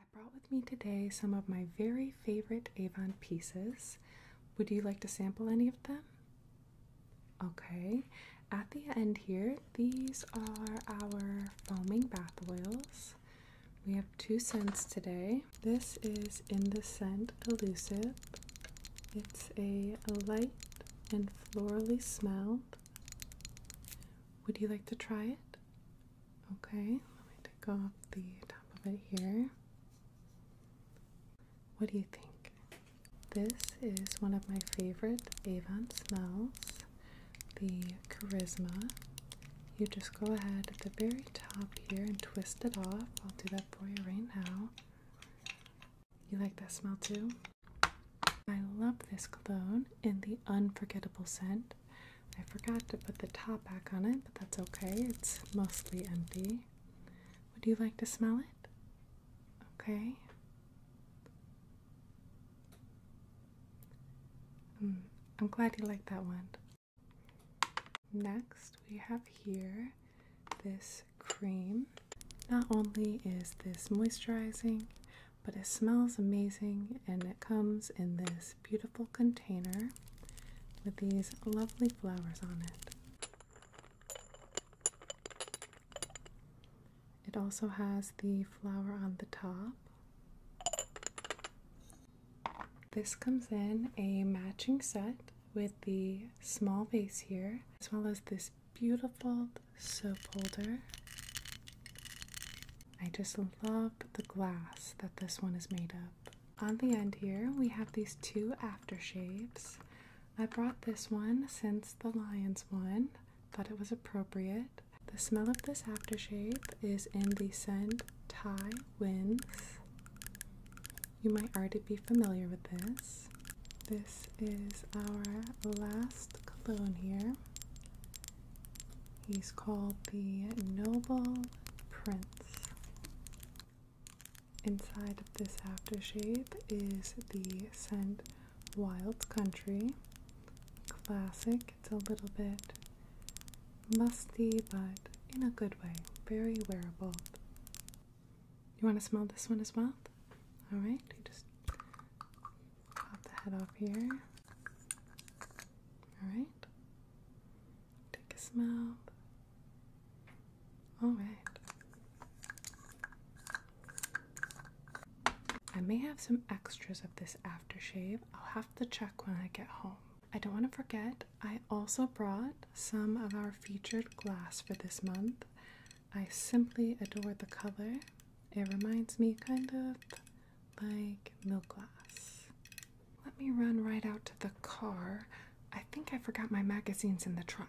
I brought with me today some of my very favorite Avon pieces. Would you like to sample any of them? Okay, at the end here, these are our foaming bath oils. We have two scents today. This is in the scent Elusive. It's a light and florally smelled. Would you like to try it? Okay, let me take off the top of it here. What do you think? This is one of my favorite Avon smells, the Charisma. You just go ahead at the very top here and twist it off. I'll do that for you right now. You like that smell too? I love this cologne in the unforgettable scent. I forgot to put the top back on it, but that's okay. It's mostly empty. Would you like to smell it? Okay. Hmm, I'm glad you like that one. Next, we have here this cream. Not only is this moisturizing, but it smells amazing and it comes in this beautiful container with these lovely flowers on it. It also has the flower on the top. This comes in a matching set with the small vase here, as well as this beautiful soap holder. I just love the glass that this one is made up. On the end here, we have these two aftershaves. I brought this one since the Lions one, thought it was appropriate. The smell of this aftershave is in the scent Thai Winds. You might already be familiar with this. This is our last cologne here. He's called the Noble Prince. Inside of this aftershave is the scent Wild Country. Classic. It's a little bit musty, but in a good way. Very wearable. You want to smell this one as well? Alright, you just Pop the head off here. Alright. Take a smell. Alright. I may have some extras of this aftershave. I'll have to check when I get home. I don't want to forget, I also brought some of our featured glass for this month. I simply adore the color. It reminds me kind of like milk glass. Let me run right out to the car. I think I forgot my magazines in the trunk.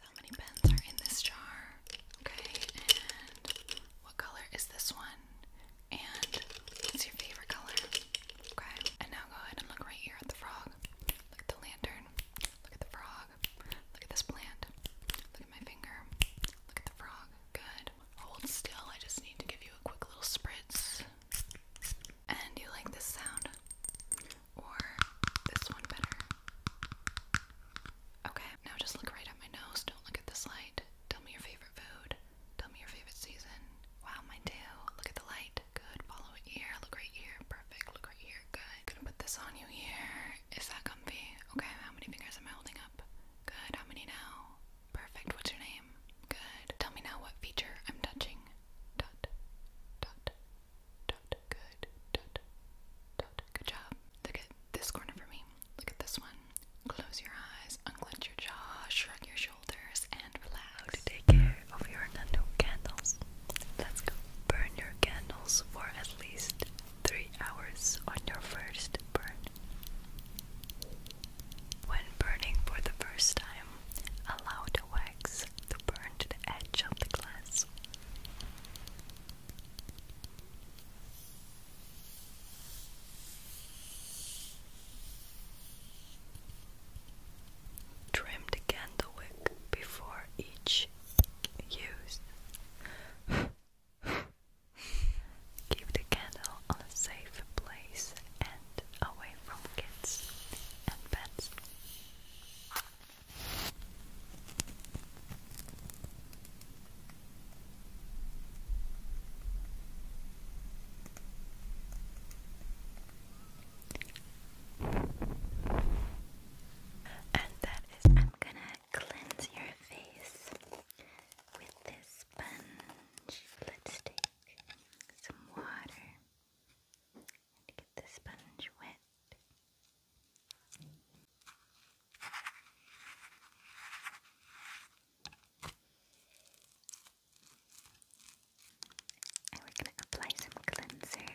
how many pens are in this jar? Okay, and what color is this one? And what's your favorite color? Okay, and now go ahead and look right here at the frog. Look at the lantern. Look at the frog. Look at this plant my finger. Look at the frog. Good. Hold still. I just need to give you a quick little spritz. And you like this sound? Or this one better? Okay, now just look right at my nose. Don't look at this light. Tell me your favorite food. Tell me your favorite season. Wow, mine too. Look at the light. Good. Follow it here. Look right here. Perfect. Look right here. Good. Gonna put this on you here. Is that comfy? Okay, how many fingers am I holding up? Good, how many now? Perfect, what's your name? Good. Tell me now what feature I'm touching. Dot, dot, dot, good, dot, dot. Good job. Look at this corner for me. Look at this one. Close your eyes, unclench your jaw, shrug your shoulders, and relax. To take care of your candles. Let's go. Burn your candles for at least 3 hours on your first burn. When burning for the first time, allow the wax to burn to the edge of the glass. Trim the candle before each use. Keep the candle on a safe place and away from kids and pets. And i is, I'm gonna cleanse your face with this sponge. Let's take some water and get the sponge wet. And we're going to apply some cleanser.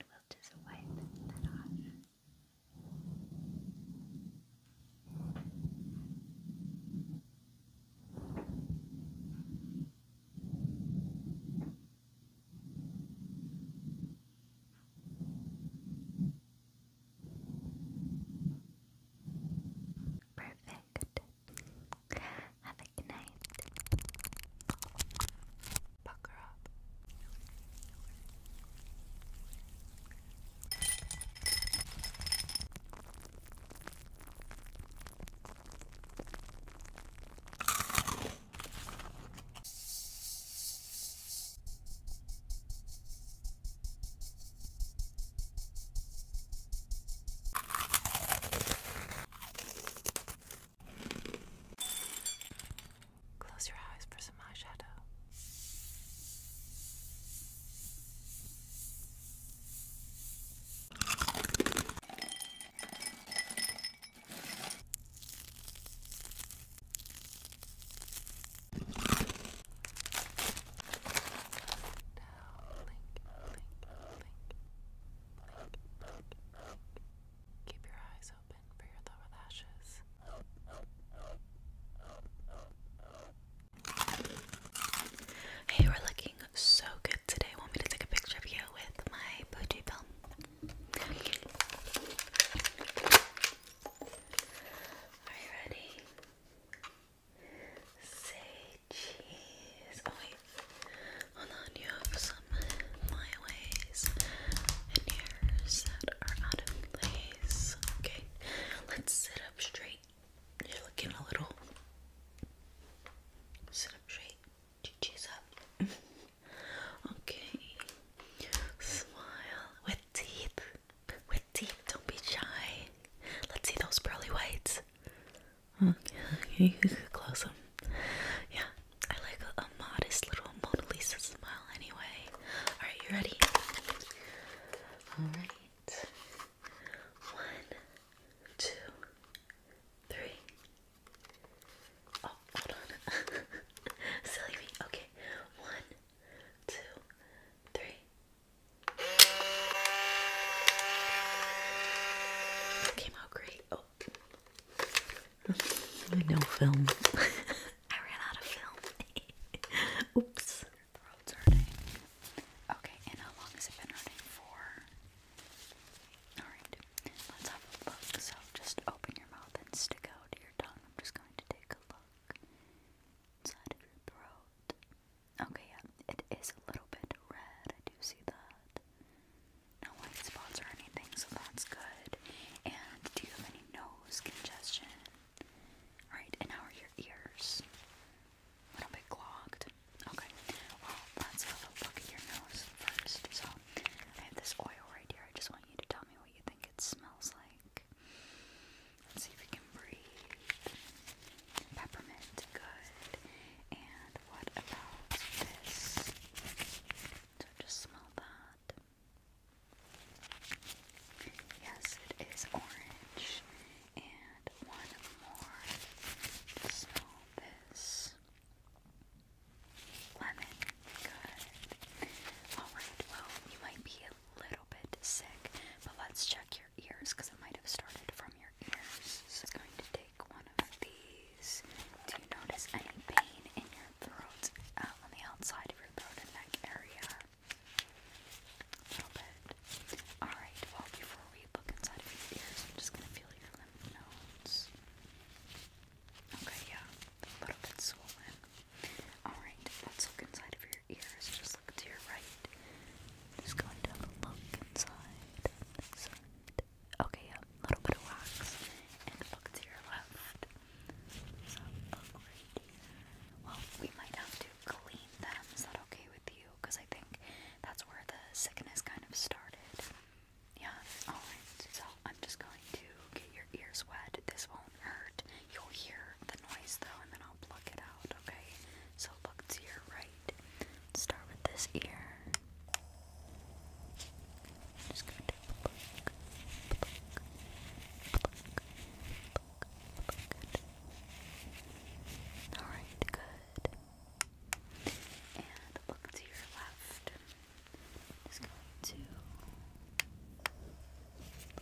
And we'll just wipe Perfect. Have a good night. Pucker up. Close your eyes for some eyeshadow. Hey, we're looking so good today. Want me to take a picture of you with my Pooji film? Are you ready? Say cheese. hold on. You have some my ways and yours that are out of place. Okay, let's sit up straight. You're looking a little. Sit up straight. Cheese up. okay. Smile with teeth. Pretty, don't be shy. Let's see those pearly whites. Hmm, okay, close them. Yeah, I like a, a modest little Mona Lisa smile anyway. Alright, you ready? Alright. One, two, three. Oh, hold on. Silly me. Okay. One, two, three came out great. Oh. no film. I ran out of film. Oops. Okay, and how long has it been hurting for? Alright, let's have a look. So just open your mouth and stick out your tongue. I'm just going to take a look inside of your throat. Okay, yeah, it is a little bit red. I do see that. No white spots or anything, so that's good. And do you have any nose congestion? Alright, and how are your ears? A little bit clogged. Okay, well, let's have look at your nose first. So, I have this oil right here. I just want you to tell me what you think it smells like. Let's see if we can breathe. Peppermint, good. And what about this? So just smell that. Yes, it is orange. And one more. smell this. Lemon, good. Alright, well, you might be a little little bit sick, but let's check your ears because it might have started from your ears. So I'm going to take one of these. Do you notice any pain in your throat, uh, on the outside of your throat and neck area? A little bit. Alright, well, before we look inside of your ears, I'm just going to feel your lymph nodes. Okay, yeah, a little bit swollen. Alright, let's look inside of your ears. Just look to your right just going to have a look inside Okay, yeah, a little bit of wax and look to your left. So, oh Well, we might have to clean them. Is that okay with you? Because I think that's where the sickness kind of started. Yeah, alright. So, I'm just going to get your ears wet. This won't hurt. You'll hear the noise though, and then I'll pluck it out, okay? So look to your right. Start with this ear. Alright, good. And look to your left. Just going to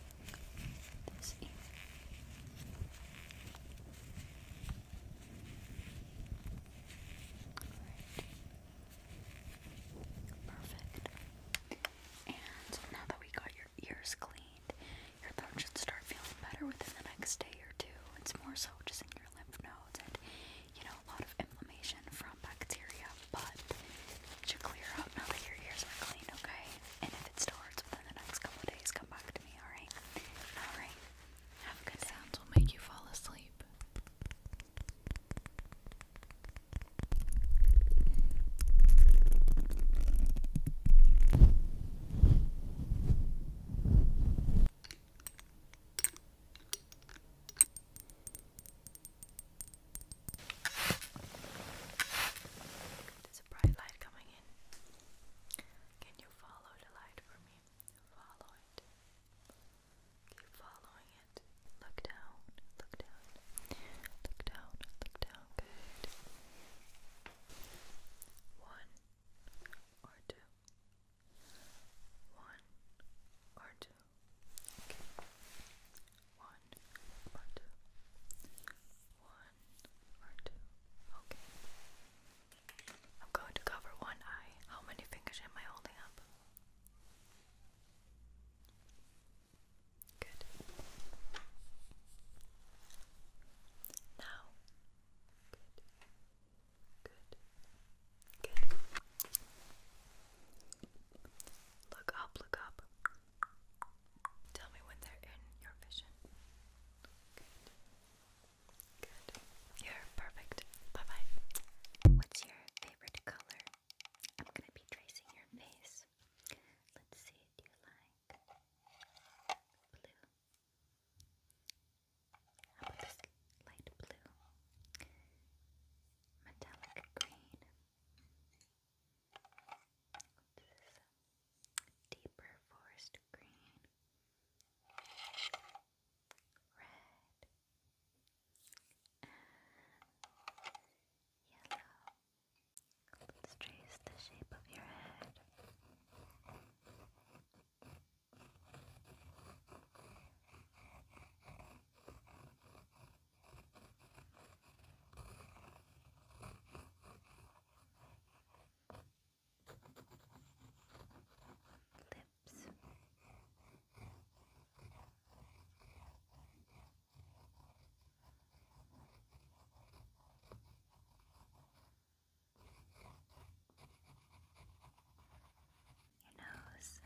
this Perfect. And now that we got your ears cleaned, your thumb should start feeling better within the next day or two. It's more so just in your lymph nodes and, you know, a lot of inflammation from bacteria, but it should clear up now that your ears are clean, okay? And if it starts within the next couple days, come back distract alright? Sounds will make you fall asleep. There's a bright light coming opinion. Can you follow the light for me? Follow it. Keep following it. Look down, look down, look down, look down. Good. One or two. One or two. Okay. One or two. One Okay. I'm going to cover one eye. How many fingers am I holding up? Good. Now. Good. Good. Good. Look up, look up. Tell me when they're in your vision. Good. You're perfect. Bye bye. What's your favorite color? I'm gonna be tracing your face. Let's see. Do you like blue? How about this light blue? Metallic green deeper forest green, red, and yellow. Let's trace the shape of your head lips. Your nose.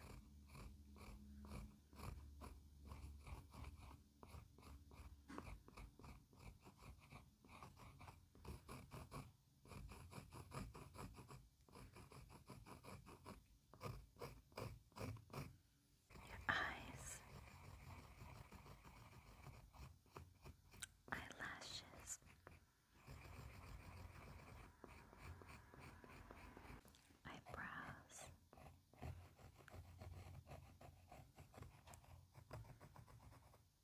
Eyes, eyelashes, eyebrows,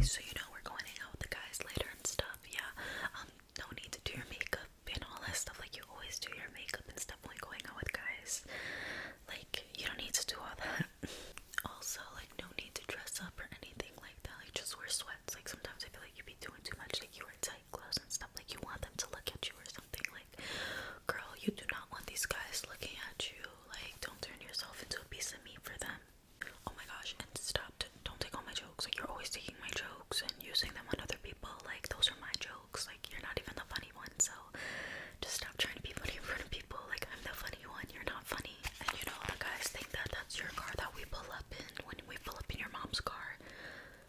So you know we're going to hang out with the guys later and stuff, yeah. Um, no need to do your makeup and all that stuff. Like you always do your makeup and stuff when going out with guys. Like you don't need to do all that. also, like no need to dress up or anything like that. Like just wear sweats. Like sometimes I feel like you be doing too much. Like you wear tight clothes and stuff. Like you want them to look at you or something. Like, girl, you do not want these guys looking at you. Like, don't turn yourself into a piece of meat for them. Oh my gosh, and stop. Don't take all my jokes. Like, you're always taking my jokes and using them on other people. Like, those are my jokes jokes. Like, you're not even the funny one, so just stop trying to be funny in front of people. Like, I'm the funny one, you're not funny. And you know, the guys think that that's your car that we pull up in when we pull up in your mom's car.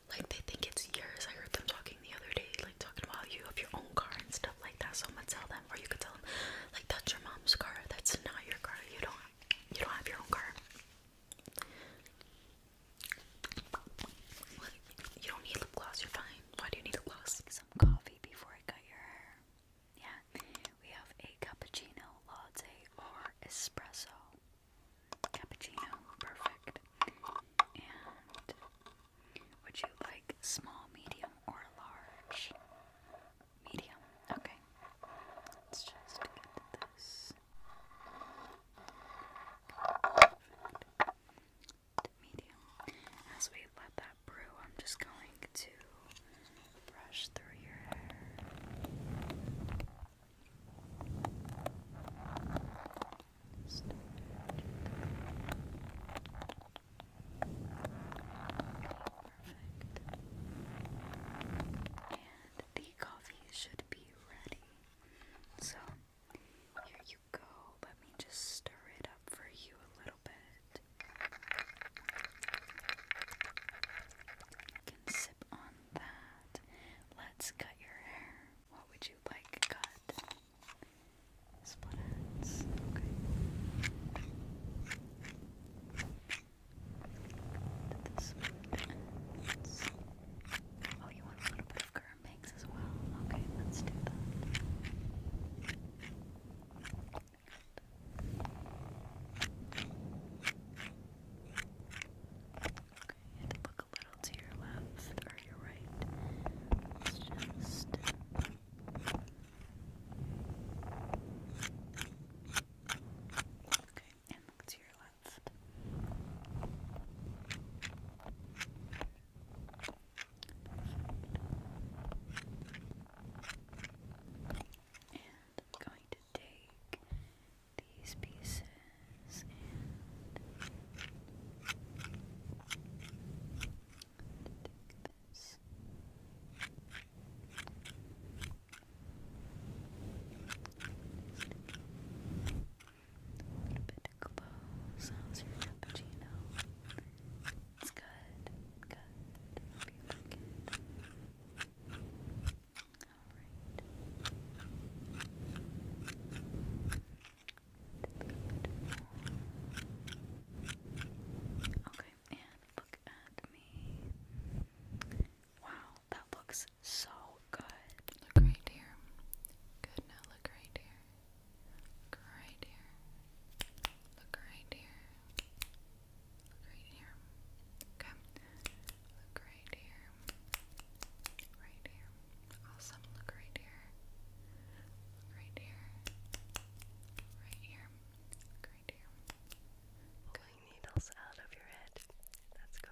Like, they think it's yours. I heard them talking the other day, like, talking about you have your own car and stuff like that. So, tell them, or you could tell them, like, that's your mom's car, that's not your car. You don't, you don't have your own car. You don't need lip gloss, you're fine. Why do you need lip gloss? Some coffee before I cut your hair. Yeah. We have a cappuccino, latte, or espresso. Cappuccino, perfect. And would you like small, medium, or large? Medium. Okay. Let's just get this medium. As we let that brew, I'm just going to brush through your hair. Perfect. And the coffee should be ready. So, here go. Let me just stir it up for you a little bit. You can sip on that. Let's cut your hair. What would you like cut? Split ends. Okay. To the Oh, you want a little bit of curl? makes as well. Okay, let's do that. Okay, look a little to your left or your right. Let's just. Okay, and look to your left. And I'm going to take these pieces and take this. A little bit cappuccino? It's good. Good. Okay, and look at me. Wow, that looks so good. Look right here. Good, now look right here. Look right here. Look right here. Look right here. Okay. Look right here. Right here. Awesome. Look right here. right here. Right here. right here. Pulling needles out of your head. Let's go.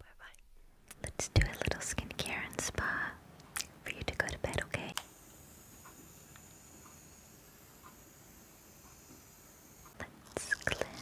Bye bye. Let's do a little skincare and spa for you to go to bed, okay? Let's cleanse.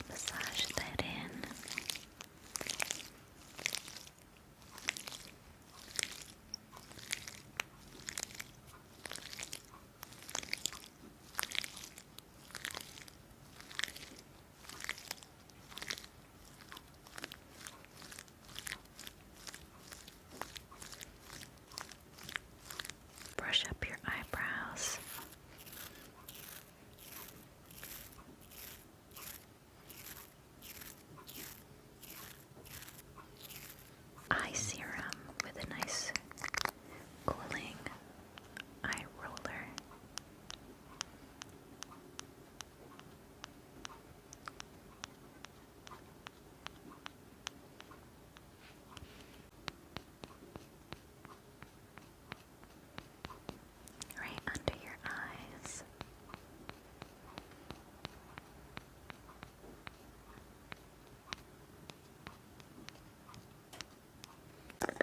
Let's massage that in. Brush up your eyebrows eye serum with a nice cooling eye roller. Right under your eyes. Okay,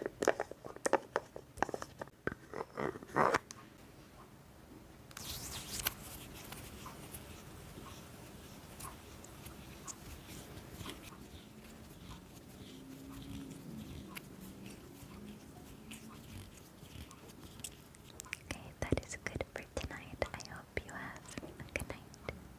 that is good for tonight. I hope you have a good night.